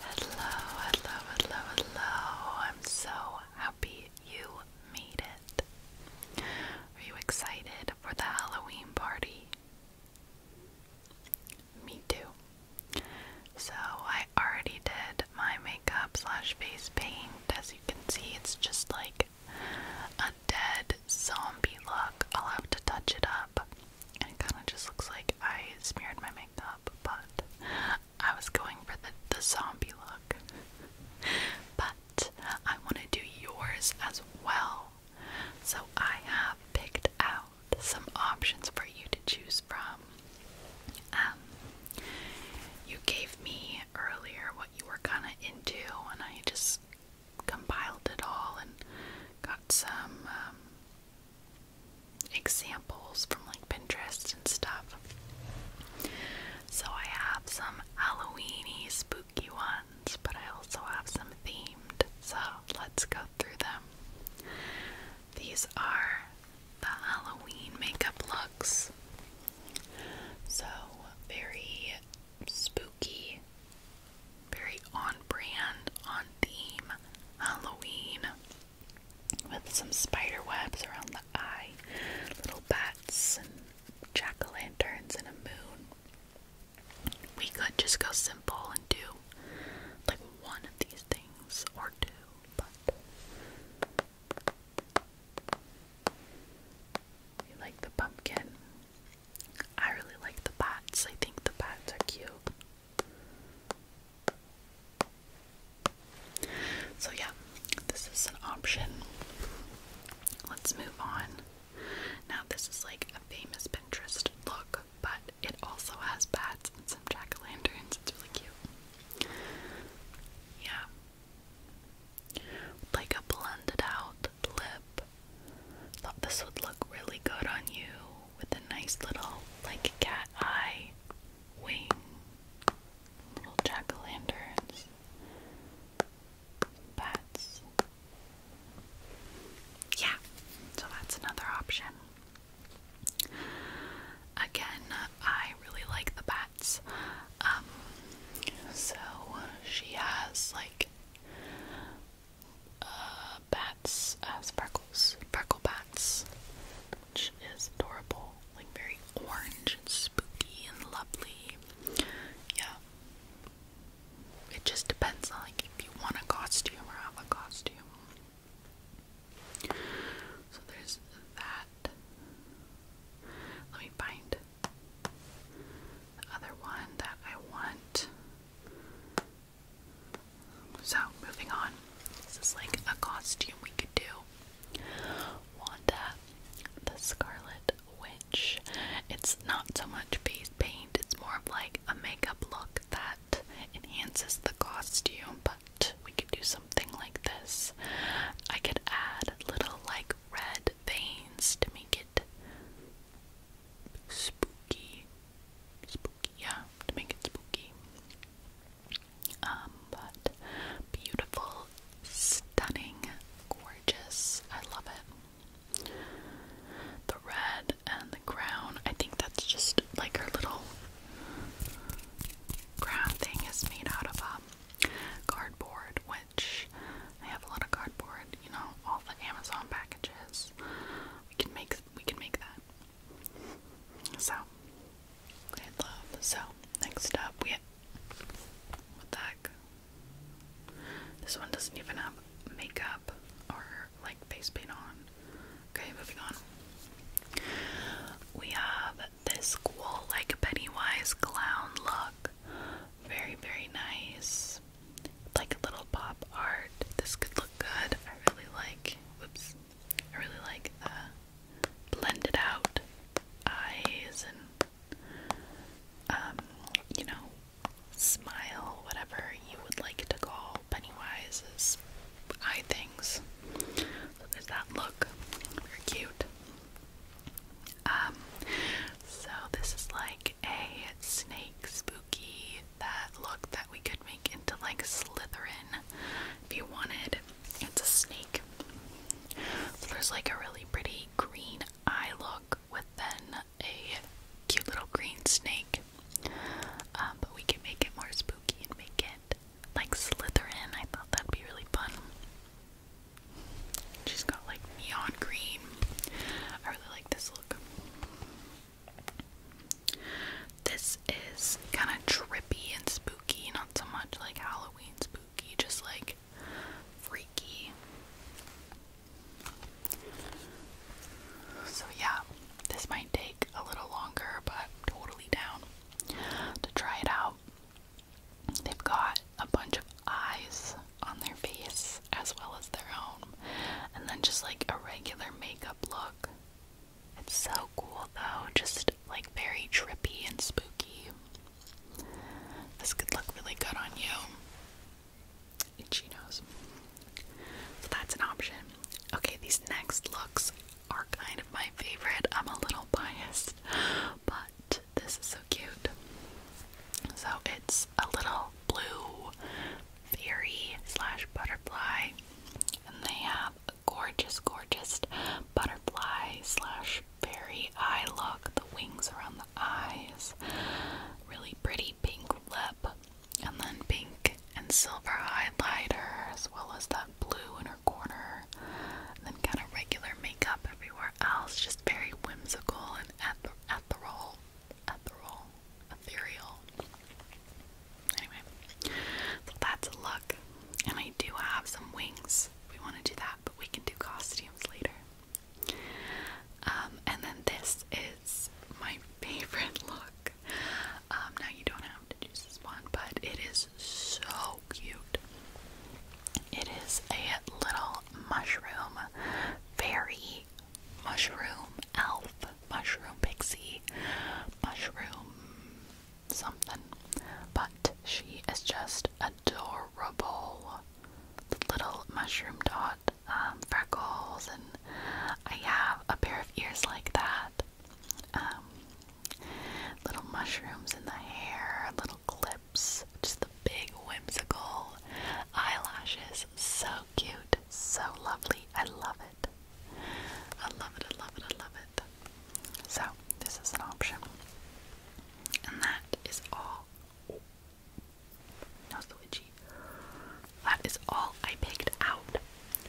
Hello, hello, hello, hello. I'm so happy you made it. Are you excited for the Halloween party? Me too. So, I already did my makeup slash face paint. As you can see, it's just like a zombie look. I'll have to touch it up. And it kind of just looks like I smeared my makeup, but I was going for the, zombie look. but I want to do yours as well. So I have picked out some options for you to choose from. Um, you gave me earlier what you were kind of into, and I just compiled it all and got some um, examples from like Pinterest and stuff. So I have some Halloweeny spooky ones, but I also have some themed. So let's go through them. These are the Halloween makeup looks. So very spooky, very on brand, on theme Halloween with some spider webs around the eye, little bats, and jack o' lanterns, and a moon. We could just go simple and do like one of these things or two, but like the pumpkin I really like the bats. I think the bats are cute. So, yeah, this is an option. Let's move on. Now, this is like a famous Pinterest look, but it also has bats and some jack o' lanterns. It's really cute. Yeah. Like a blended out lip Thought this would look really good on you with a nice little, like, cat eye wing. Little jack o' lanterns. Bats. Yeah, so that's another option. Again, I really like the bats. Um, so she has like uh, bats, uh, sparkles, sparkle bats, which is adorable, like very orange and spooky and lovely. Yeah, it just depends on like if you want a costume or have a costume. So there's that. Let me find the other one that I want. So, moving on. This is like a costume we could do. Wanda, the Scarlet Witch. It's not so much face paint, it's more like a makeup look that enhances the costume, but we could do something like this. I could add little like red veins to make it spooky. Spooky, yeah, to make it spooky. Um, but beautiful, stunning, gorgeous. I love it. The red and the crown. I think that's just like her little crown thing is made out of um, cardboard with I have a lot of cardboard, you know, all the Amazon packages. We can make we can make that. So great love. So next up we what the heck? This one doesn't even have makeup or like face paint on. Okay, moving on. We have this cool like Wise clown look. Very, very nice like a little pop art. This could look good. I really like. Whoops. I really like the blended out eyes and um, you know, smile, whatever you would like to call Pennywise's eye things. So there's that look. Very cute. Um, so this is like a snake spooky that look that we could make into like Slytherin if you wanted. It's a snake. So there's like a really pretty green eye look with then a cute little green snake. Um, but we can make it more spooky and make it like Slytherin. I thought that'd be really fun. She's got like neon green. I really like this look. This is kind of trippy and spooky, not so much like Halloween spooky, just like freaky. So, yeah, this might take a little longer, but totally down to try it out. They've got a bunch of eyes on their face as well as their own, and then just like a regular makeup look. It's so cool though, just like very trippy and spooky. This could look really good on you. Itchy nose. So that's an option. Okay, these next looks are kind of my favorite. I'm a little biased, but this is so cute. So it's a little blue fairy slash butterfly, and they have a gorgeous, gorgeous butterfly slash fairy eye look. The wings around the eyes, really pretty pink lip, and then pink and silver highlighter, as well as that blue in her corner, and then kind of regular makeup everywhere else, just very whimsical and at the ethereal. Anyway, so that's a look, and I do have some wings. We want to do that, but we can do costumes later. Um, and then this is my favorite look. Um, now you don't have to choose this one, but it is so cute. It is a little mushroom, fairy, mushroom, elf, mushroom pixie, mushroom something. But she is just adorable. little mushroom dot um, freckles, and I have a pair of ears like that. Um, little mushrooms in the hair, little clips, just the big whimsical eyelashes. So cute, so lovely. I love it. I love it, I love it, I love it. So, this is an option. And that is all. Oh. No switchy. That is all I picked out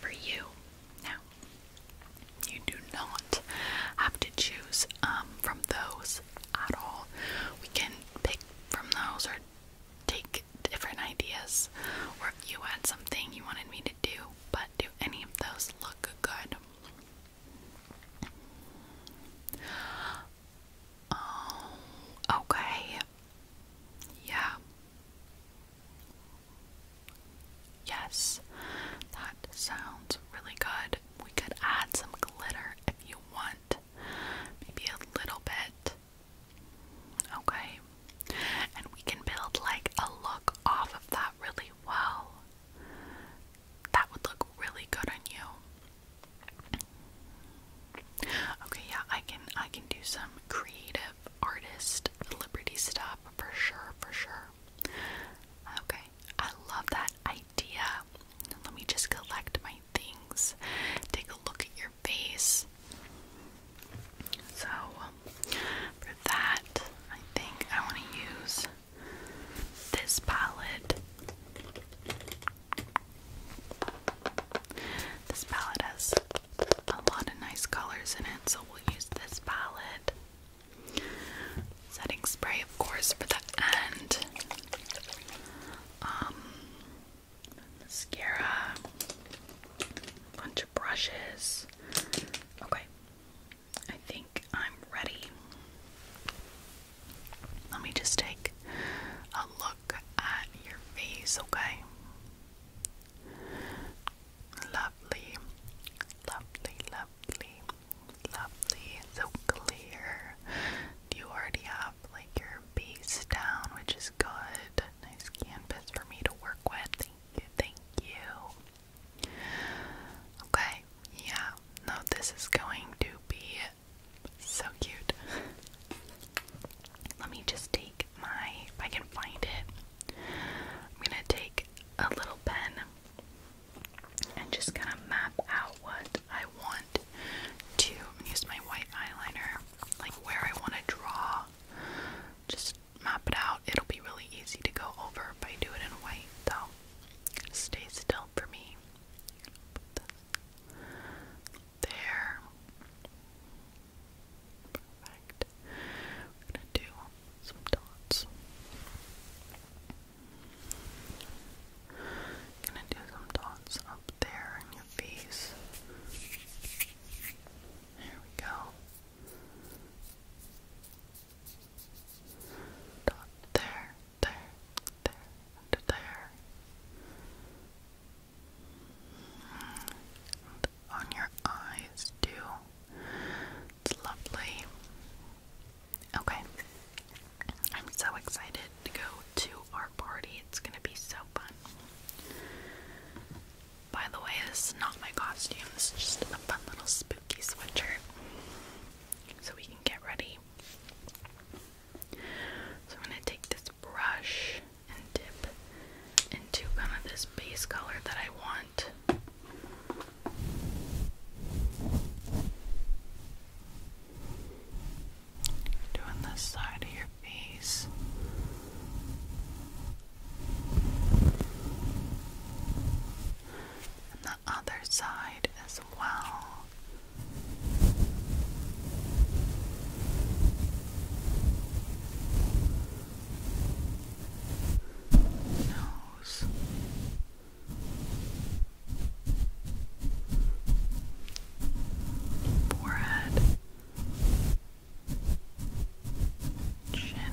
for you. Now, you do not have to choose um, from those at all. We can pick from those or take different ideas or you had something you wanted me to do, but do any of those look good? Oh, okay. Yeah. Yes, that sounds really good. We could add some glitter if you want maybe a little bit. Okay, and we can build like a look off of that really well. That would look really good on you. Okay, yeah, I can I can do some creative artist liberty stuff for sure, for sure. Okay, I love that idea. Let me just collect my things. Take a look at your face. So, um, for that, I think I want to use this palette. This palette has a lot of nice colors in it, so we'll use this palette setting spray, of course, for the end. Um, mascara, bunch of brushes. Okay, I think I'm ready. Let me just take a look at your face, okay? Lovely, lovely, lovely. Lovely, so clear. You already have like your base down, which is good. Nice canvas for me to work with. Thank you, thank you. Okay, yeah, no, this is going to be so cute. Let me just take my, if I can find it, I'm gonna take a little pen and just kind of map out what I want to use my white eyeliner, like where I want to draw. Just map it out. It'll be really easy to go over if I do it in white, though. Stay still for me. there. Perfect. gonna do some dots. Gonna do some dots up there in your face. There we go. Dot there, there, there, there. And on your eyes too. It's lovely. Okay. I'm so excited to go to our party. It's gonna be so fun. By the way, this is not my costume. This is just a fun little spooky sweatshirt. So we can get ready. So I'm gonna take this brush and dip into kind of this base color that I want. Doing this side of your face. And the other side as well. Nose forehead, chin. Your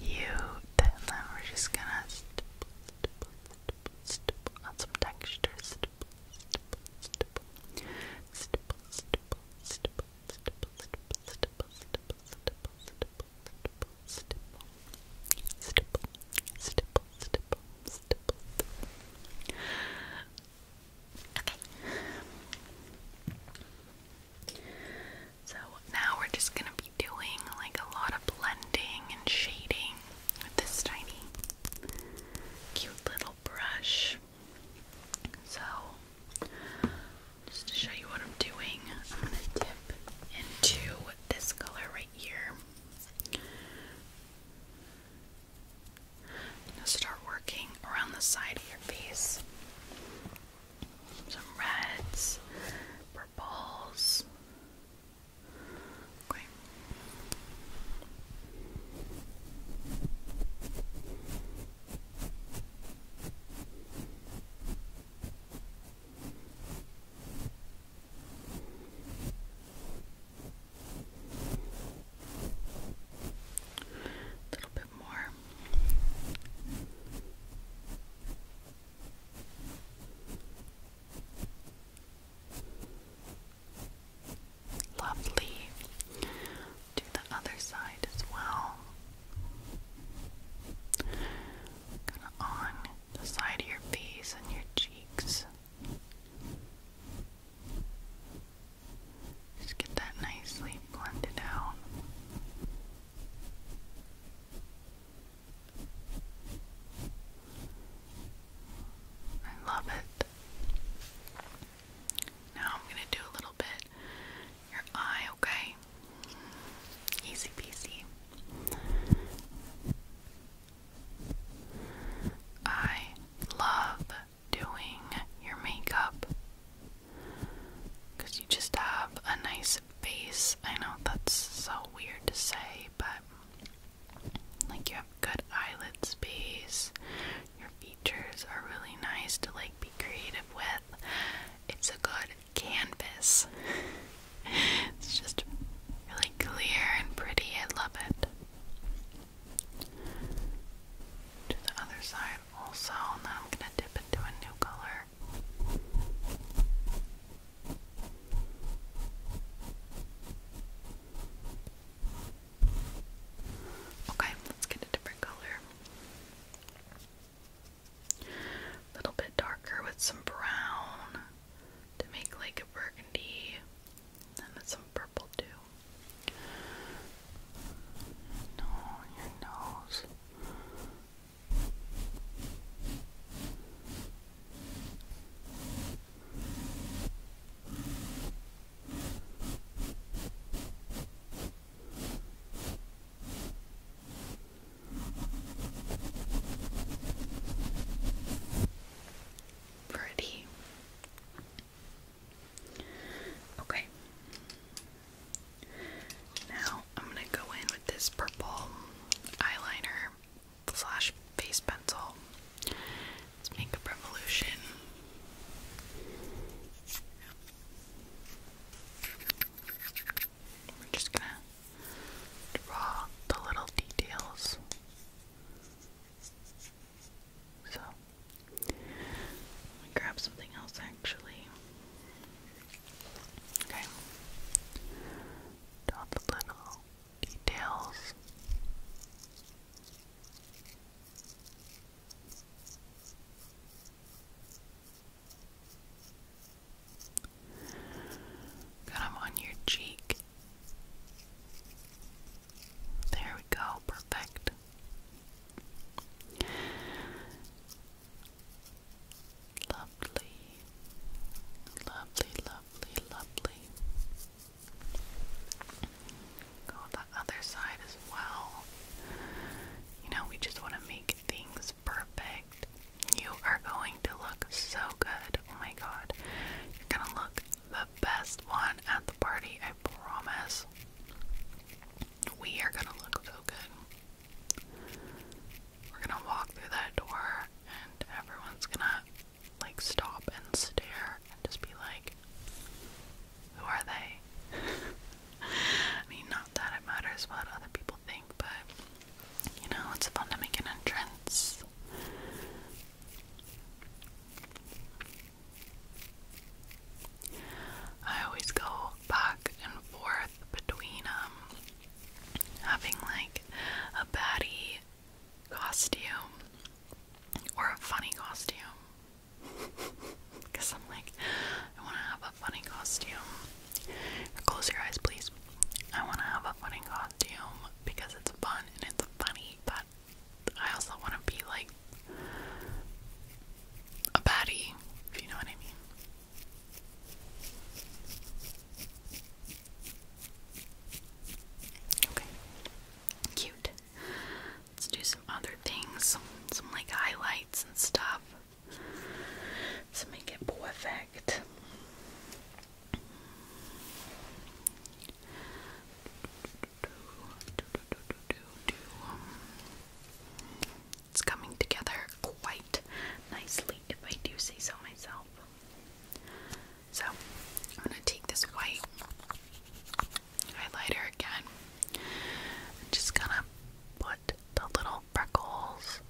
you, then we're just gonna stipple, some texture. Okay. So now we're just gonna be doing like a lot of blending and shading with this tiny cute little brush. So just to show you what I'm doing, I'm gonna dip into this color right here i start working around the side of your face. Some reds, purples. A little bit more. Lovely. Do the other side as well. Kind of on the side of your face and your cheeks. Just get that nicely blended out. I love it. Now I'm going to do a little bit your eye, okay? Easy peasy. I love doing your makeup because you just have a nice face. I know that's so weird to say, but like you have good eyelid space, your features are really nice to like be creative with. It's a good canvas, it's just really clear and pretty. I love it to the other side also, and I'm going to dip into a new color. Okay, let's get a different color. A little bit darker with some brown to make like a burgundy and it's some purple too. No, your nose. Pretty. Okay. Now I'm gonna go in with this purple eyeliner slash face pencil. It's Makeup Revolution. We're just gonna draw the little details. So, let me grab something else actually. Okay. All the little details. Got them on your cheek. There we go, perfect. Lovely, lovely, lovely, lovely. Go the other side as well. You know, we just want to make things perfect. You are going to look so good. Oh my god. You're going to look the best one at the party, I promise. We are gonna look so good. We're gonna walk through that door, and everyone's gonna like stop and stare and just be like, Who are they? I mean, not that it matters what other people think, but you know, it's fun to make an entrance. I always go back and forth between um, having like a baddie costume or a funny costume. Cause I'm like, I wanna have a funny costume. Close your eyes please. I wanna have a funny costume because it's fun and it's funny, but I also want to be like a baddie, if you know what I mean. Okay. Cute. Let's do some other things. Some like highlights and stuff. To make it perfect. It's coming together quite nicely, if I do say so myself. So, I'm going to take this white highlighter again. i just going to put the little freckles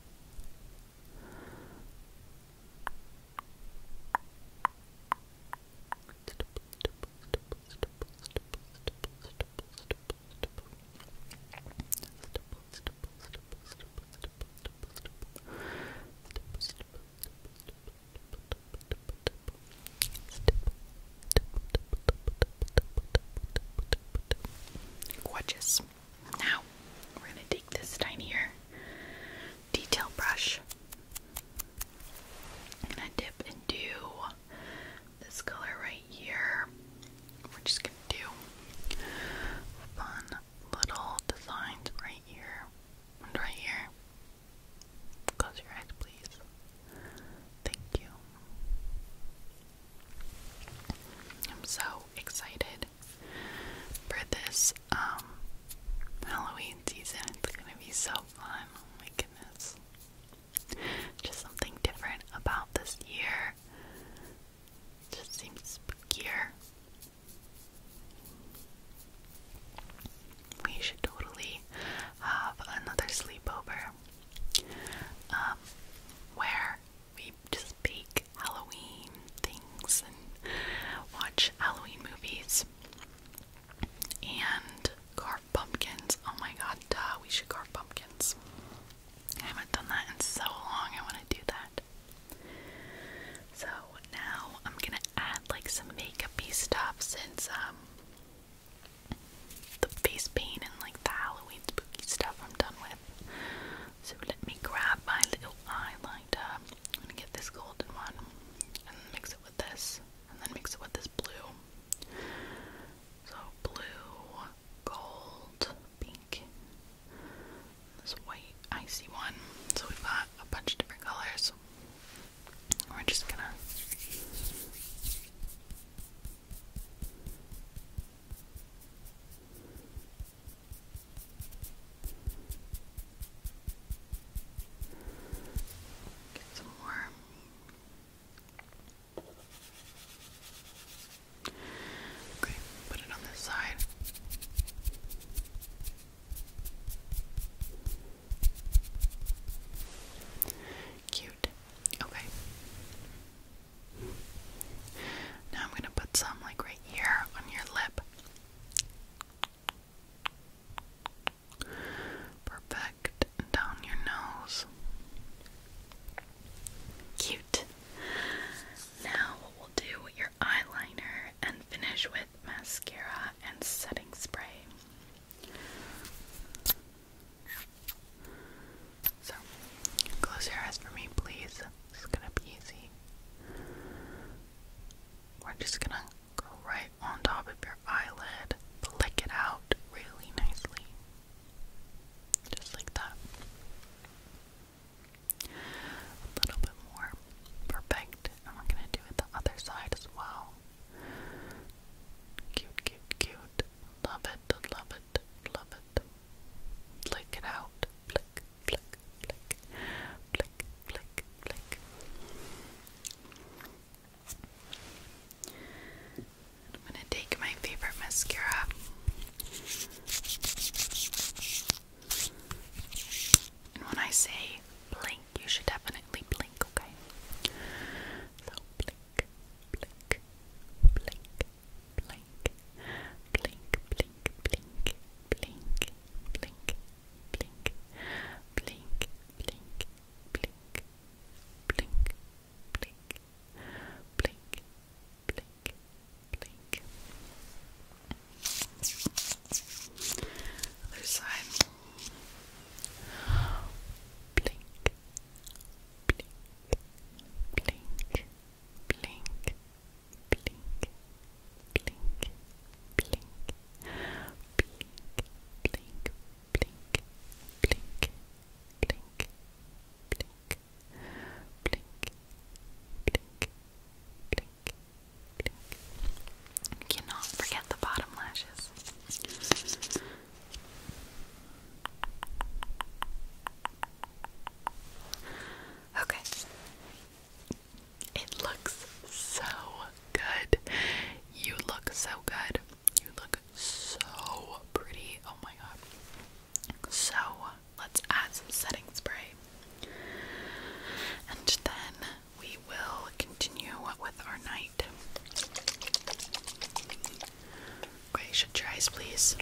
Gorgeous. Now we're going to take this tinier detail brush. I'm gonna dip into this color right here. We're just gonna do fun little designs right here and right here. Close your eyes, please. Thank you. I'm so excited for this um, Halloween season. It's gonna be so fun. Oh my goodness. Just something different about this year. Just seems spookier. We should totally have another sleepover um, where we just bake Halloween things and watch Halloween movies and carve pumpkins. Oh my god, we should carve pumpkins. I haven't done that in so long, I want to do that. So now I'm gonna add like some makeupy stuff since um the face paint and like the Halloween spooky stuff I'm done with. So let me grab my little eye I'm gonna get this golden one and mix it with this, and then mix it with this blue. So blue, gold, pink, this white icy one. So we've got a bunch of different colors. We're just gonna Get some more. Okay, put it on this side. Cute. Okay. Now I'm going to put some like right here on your lip. Perfect. Down your nose. Cute. Now we'll do your eyeliner and finish with mascara and setting spray. So, close your eyes for me, please. This is gonna be easy. We're just gonna go right on top of your eyelid, flick it out really nicely. Just like that. A little bit more. Perfect. And we're gonna do it the other side as well. Cute, cute, cute. Love it, love it, love it. Flick it out. Flick, I'm gonna take my favorite mascara. And when I say blink, you should definitely blink, okay? So blink, blink, blink, blink, blink, blink, blink, blink, blink, blink, blink, blink, blink, blink, blink, blink, blink, blink. Other side. Blink, blink, blink, blink, blink, blink, blink, blink, blink, blink, blink, blink, blink. Blink, blink, blink, blink. Cannot forget the bottom lashes. Okay, it looks so good. You look so good. You look so pretty. Oh my god. So, let's add some setting spray. And then we will continue with our night. Okay, shut your eyes, please.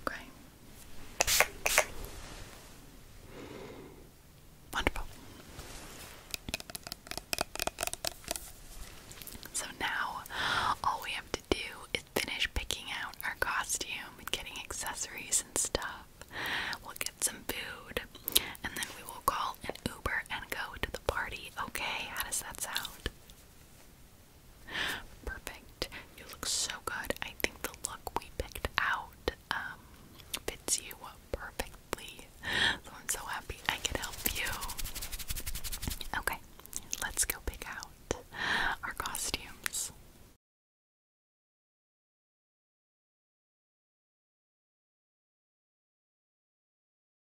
Okay. Wonderful. So now all we have to do is finish picking out our costume and getting accessories and stuff. We'll get some food and then we will call an Uber and go to the party. Okay, how does that sound? Perfect. You look so good. I think the look we picked out um, fits you perfectly. I'm so happy I could help you. Okay, let's go pick out our costumes.